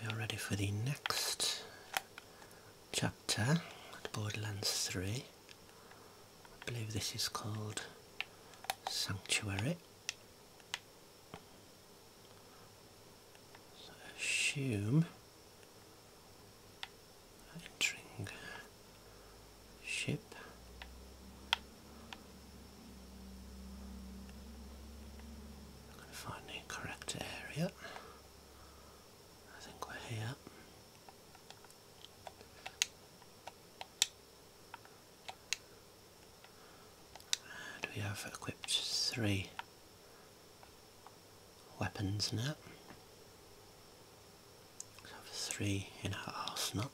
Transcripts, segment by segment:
We are ready for the next chapter at Borderlands 3. I believe this is called Sanctuary. assume entering ship i find the correct area. I think we're here. And we have equipped three weapons now. We have three in our arsenal.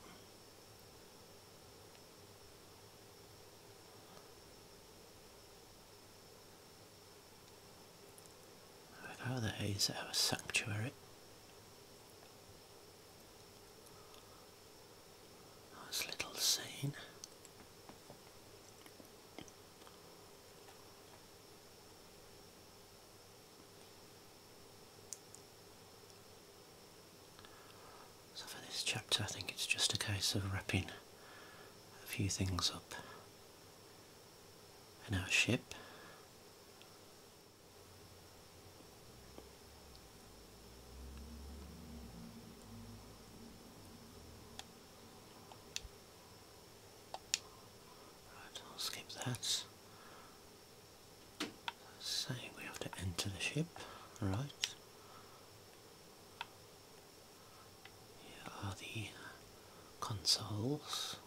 Over there is our sanctuary. Nice little scene. So for this chapter I think it's just a case of wrapping a few things up in our ship. Right, I'll skip that. Saying we have to enter the ship, right? Here are the consoles.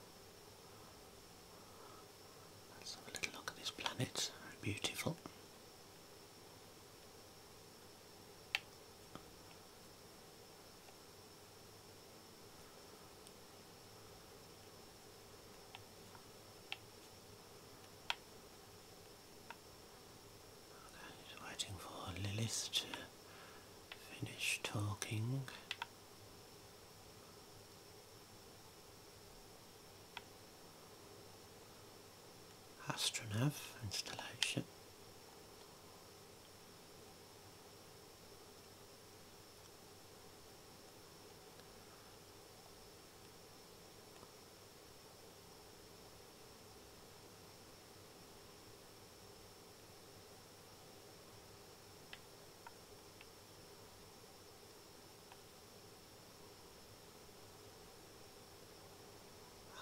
Let's have a little look at this planet, very beautiful. Just waiting for Lillith to finish talking. Astronav installation.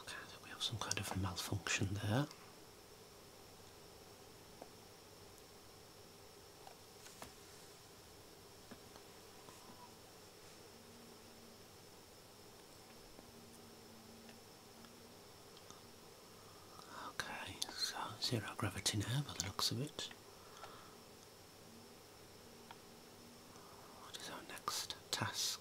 Okay, I think we have some kind of malfunction there. Okay, so zero gravity now by the looks of it. What is our next task?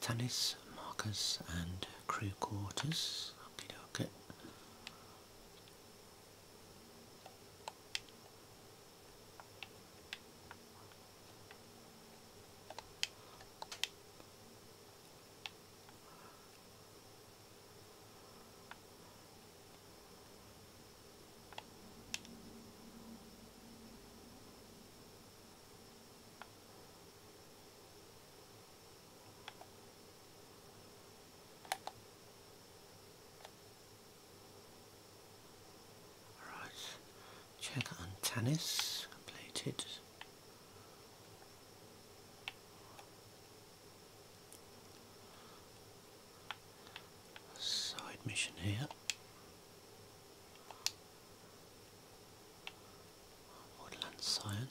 Tannis, markers, and crew quarters. okay. Alright, check on tennis, plated. Side mission here. Woodland Science.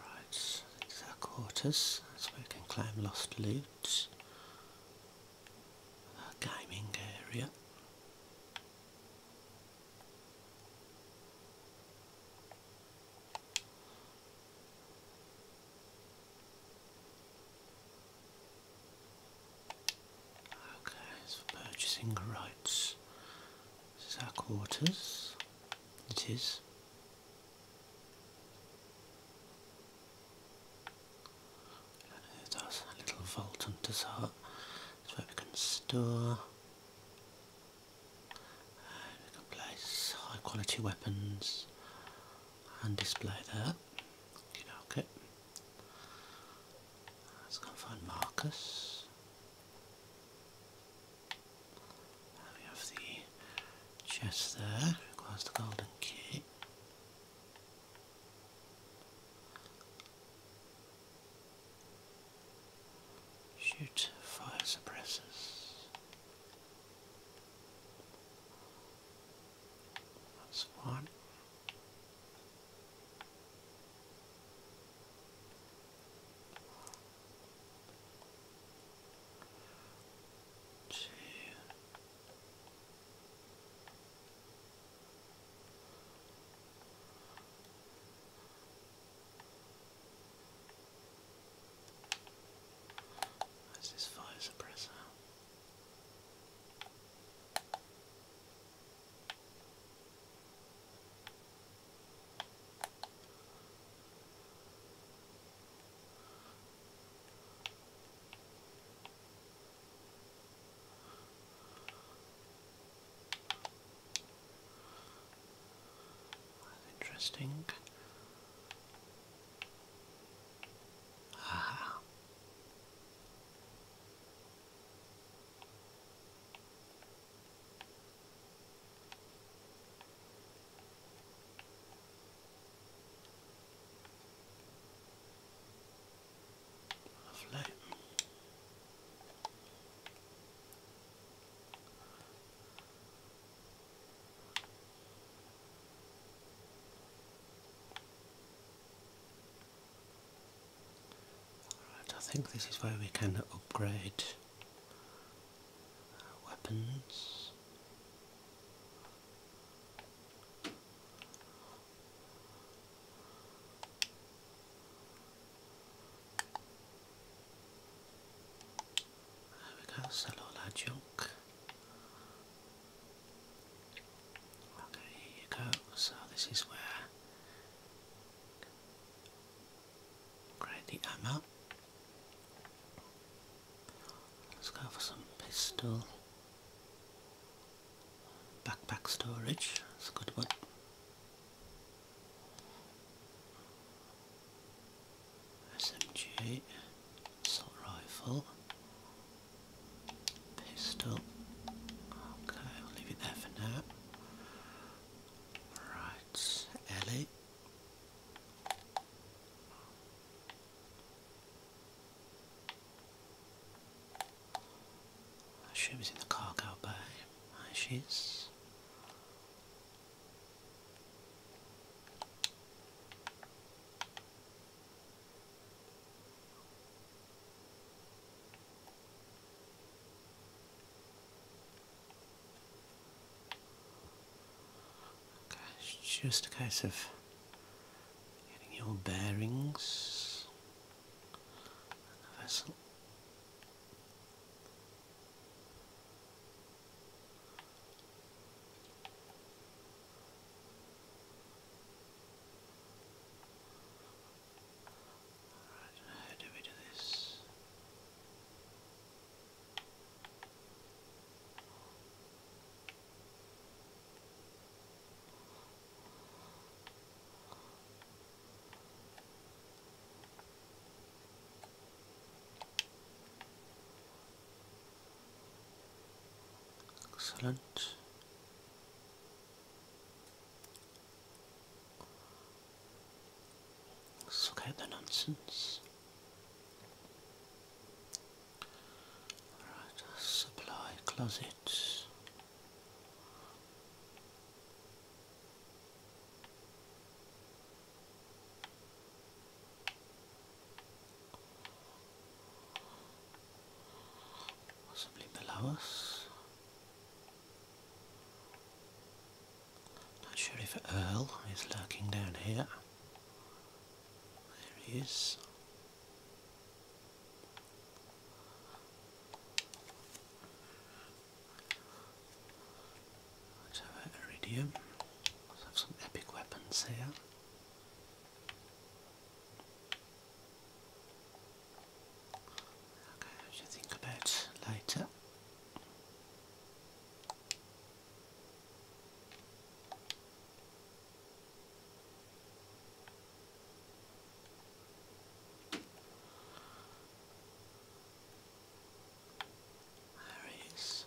Right, these are quarters. That's where you can claim lost loot. gaming area. Okay, it's for purchasing rights. This is our quarters. It is. And there's a little vault hunter's hut. That's where we can store. Uh, we can place high quality weapons and display them. okay. Let's go find Marcus we have the chest there, requires the golden key. Shoot fire suppressors. That's one two, this fire suppressor. Interesting. Ah. Lovely. I think this is where we can upgrade weapons. There we go, sell all our junk. Okay, you go. So this is where Grab the ammo. Let's go for some pistol. Backpack storage, that's a good one. SMG, assault rifle, pistol. Okay, I'll leave it there for now. Right. Right, Ellie. She was in the car bay. by. she is it's just a case of getting your bearings how do we do this? Excellent. Suck out the nonsense. Alright, supply closet. Possibly below us. Not sure if Earl is lurking down here. There he is. Let's have iridium. Let's have some epic weapons here. Okay, I should think about later. Harry's.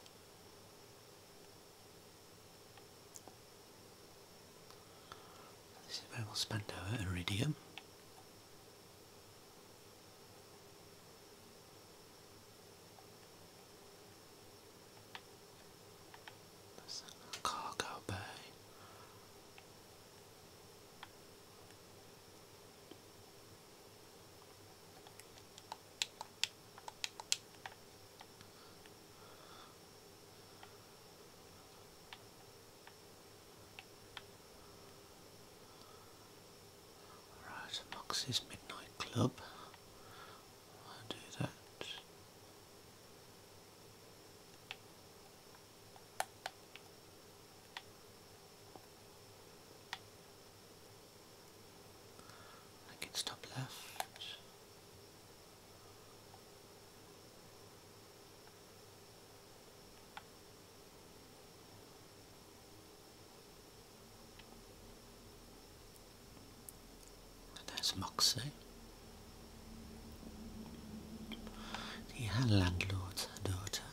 This is where we'll spend our iridium. There's a cargo bay. Alright, Moxie's Midnight Club. do that. I can stop left. There's Moxie. The landlord's daughter.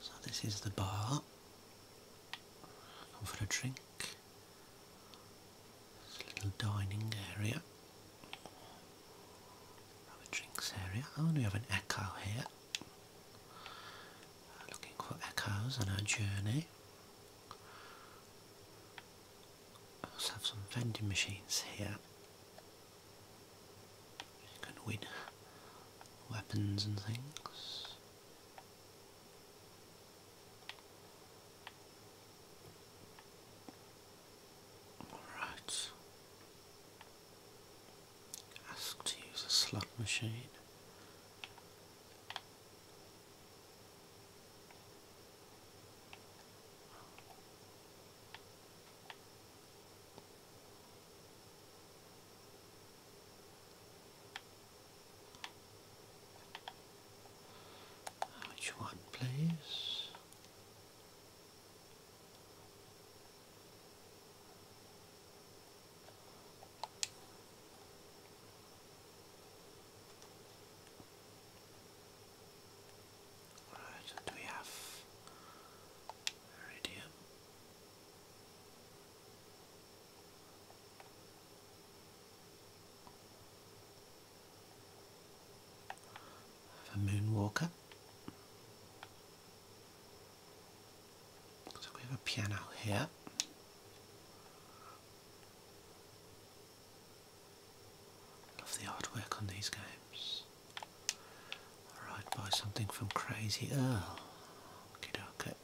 So this is the bar. Come for a drink. This little dining area. Our drinks area. and oh, we have an echo here. Uh, looking for echoes on our journey. We have some vending machines here. You can win weapons and things. Alright. Ask to use a slot machine. Which one, please? Right, and we have iridium. Have a moonwalker. So we have a piano here. Love the artwork on these games. Alright, buy something from Crazy Earl. Okay, okay.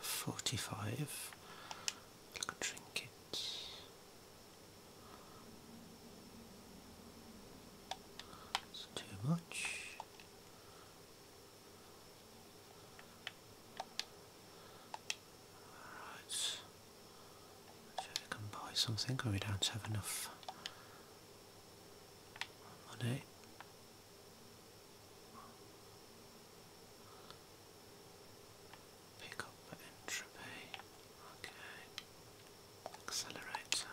45 like a trinket it's too much right so we can buy something or we don't have enough money Pick up entropy. Okay. Accelerator.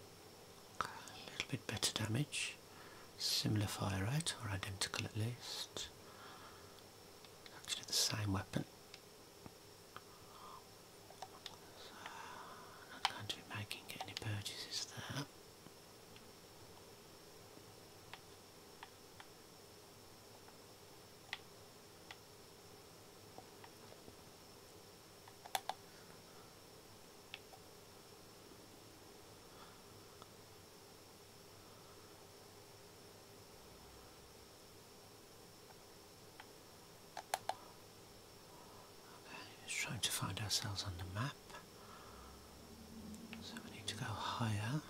A little bit better damage, similar fire rate, or identical at least. Actually, the same weapon. not going to be making any purchases there just trying to find ourselves on the map. So we need to go higher.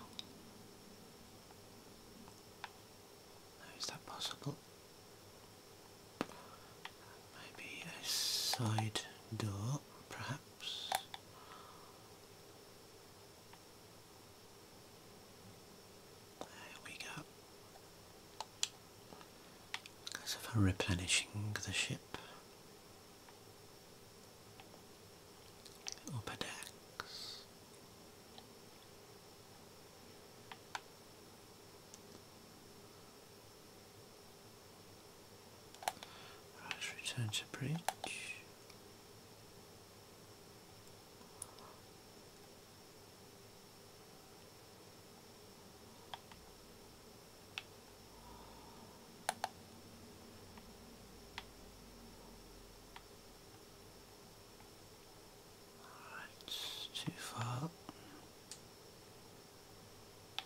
is that possible? Maybe a side door, perhaps. Oops. There we go. As if I'm replenishing the ship. Upper Right, return to bridge. Right, too far.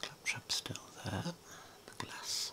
The claptrap's still there, the glass.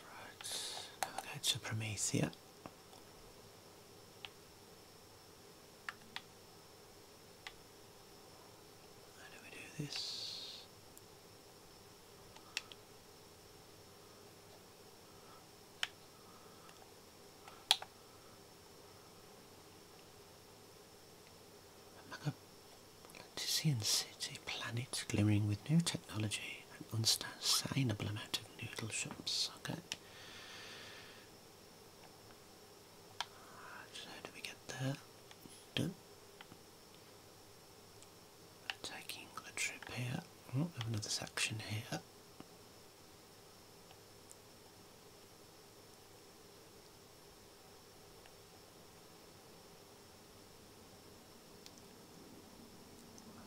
Right, now to Promethea. How do we do this? Among a Lacticean city, planet glimmering with new technology, an unsustainable amount of noodle shops. Okay. how do we get there? taking a trip here. Oh, have another section here.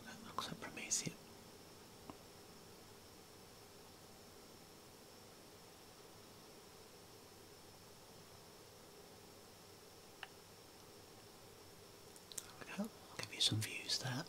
That looks like Promethea. There we go. Give you some views there.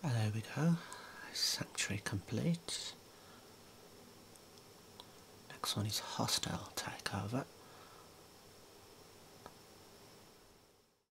And there we go, sanctuary complete. Next one is hostile takeover.